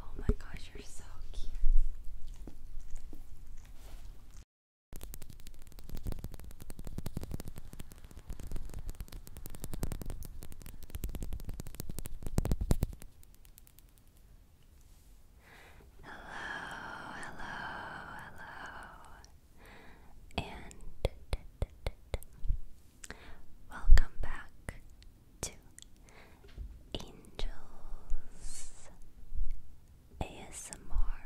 Oh my gosh, you're so cute. Hello, hello, hello. And welcome back to Angels ASMR.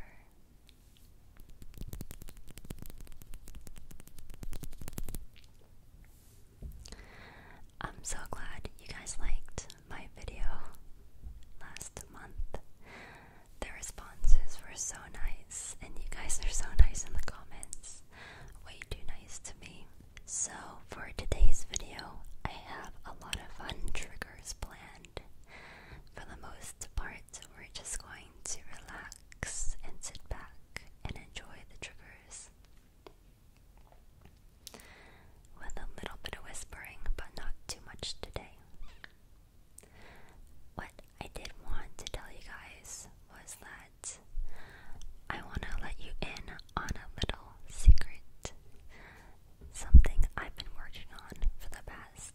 I'm so glad you guys liked my video last month. The responses were so nice, and you guys are so nice in the comments. Way too nice to me. So, for today's video, I have a lot of fun triggers planned. For the most part, we're just going to relax and sit back and enjoy the triggers. With a little bit of whispering, but not too much today. What I did want to tell you guys was that I want to let you in on a little secret something I've been working on for the past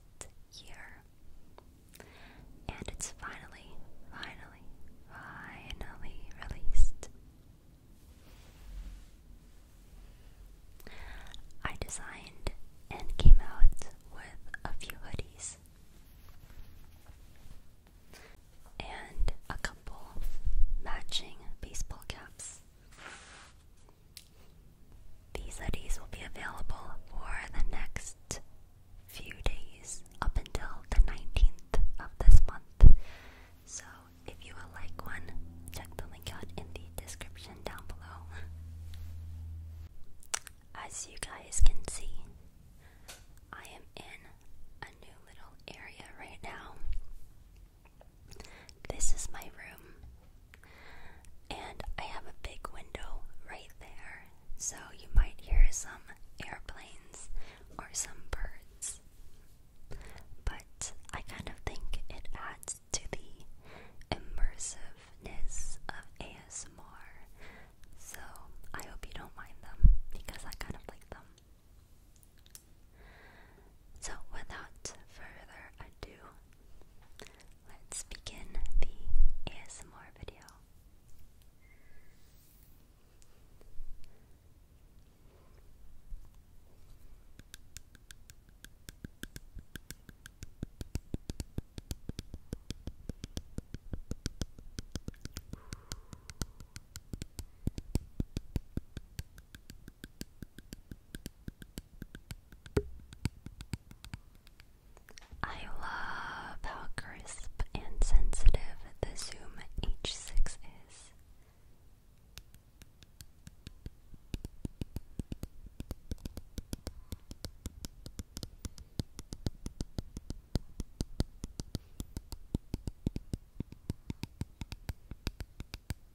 year. And it's finally, finally, finally released. I designed and came out with a few hoodies and a couple matching baseball caps. These hoodies will be available for the next few days up until the 19th of this month. So if you would like one, check the link out in the description down below. As you guys can see, I am in a new little area right now. This is my room, and I have a big window right there, so you might hear some airplanes or some birds. But I kind of think it adds to the immersiveness of ASMR, so I hope you don't mind them because I kind of like them. So, without further ado, let's begin the ASMR video. I love how crisp and sensitive the Zoom H6 is.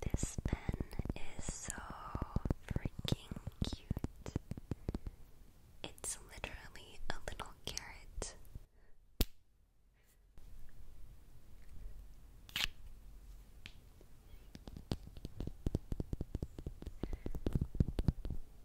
This pen is so freaking cute. It's literally a little carrot.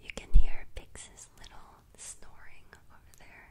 You can hear Pix's little snoring over there.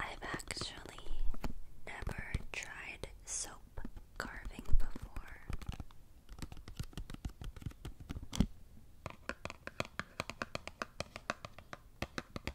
I've actually never tried soap carving before.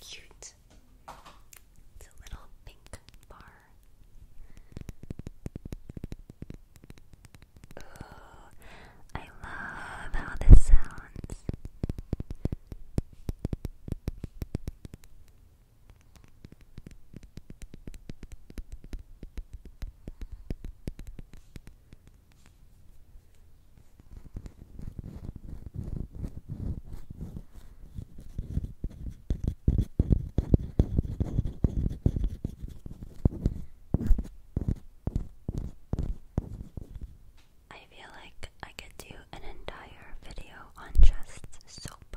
Cute. It's a little pink bar. Ooh, I love how this sounds. I feel like I could do an entire video on just soap.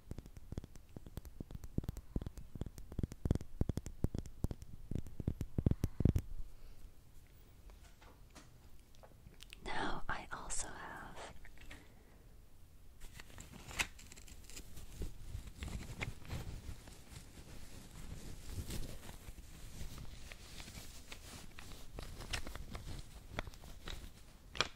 Now I also have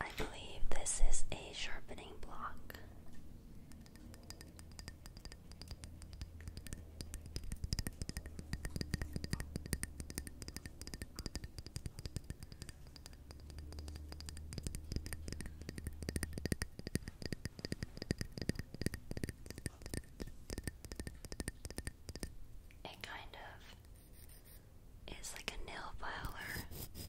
I believe this is a sharpening block. It kind of is like a nail filer.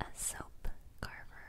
A soap carver,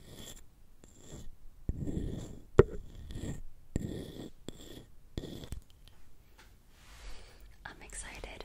I'm excited.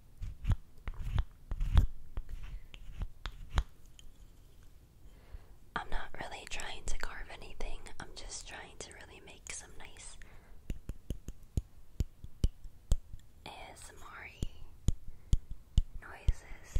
I'm not really trying to carve anything, I'm just trying to really make some nice ASMR noises.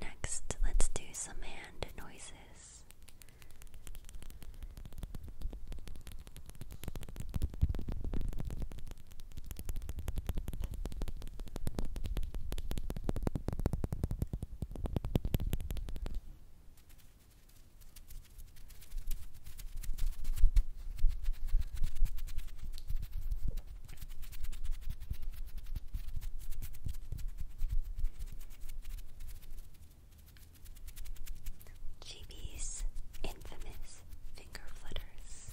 Next, let's do some hand noises. GB's infamous finger flutters.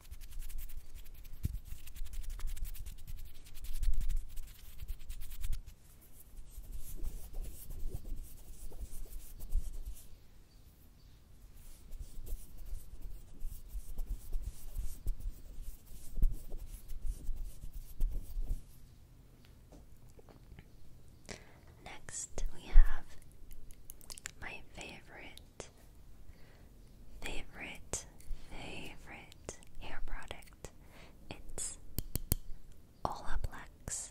Next, we have my favorite favorite, favorite hair product. It's Olaplex.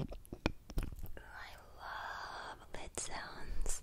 I love lid sounds.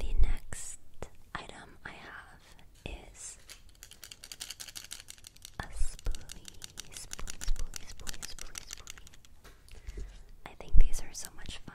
The next item I have is a spoolie, spoolie, spoolie, spoolie, spoolie, spoolie. I think these are so much fun.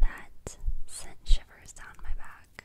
That sent shivers down my back.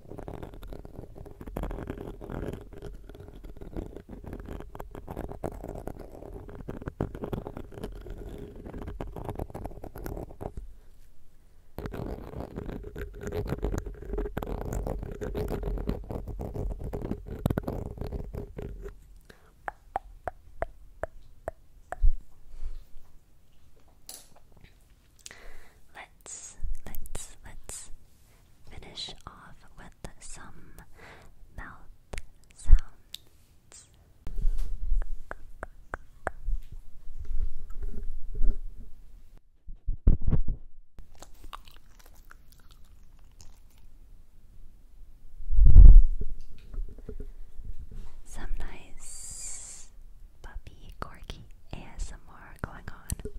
Let's let's let's finish off with some mouth sounds. Some nice puppy corky ASMR ASMR going on. No.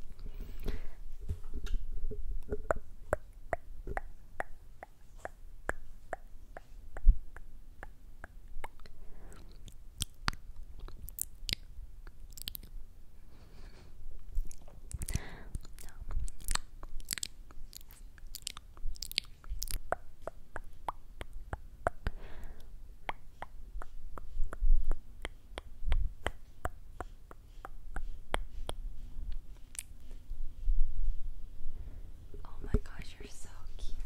Oh my gosh, you're so cute.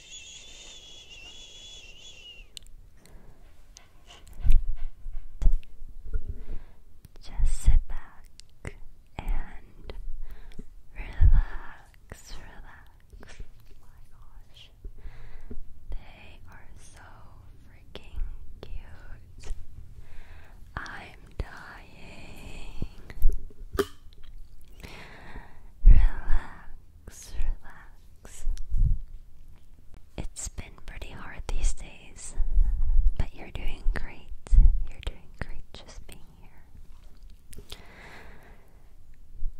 Just sit back and relax, relax. my gosh. They are so freaking cute. I'm dying. Relax relax. It's been pretty hard these days, but you're doing great. You're doing great just being here.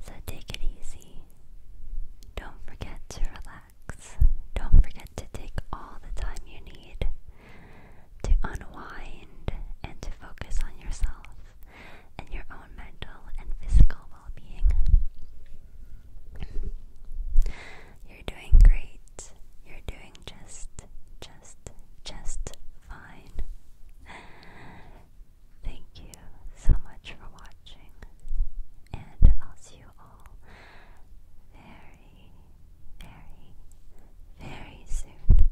So take it easy. Don't forget to relax. Don't forget to take all the time you need to unwind and to focus on yourself and your own mental and physical well being. You're doing great. You're doing just, just, just fine. Thank you so much for watching, and I'll see you all very, very, very soon.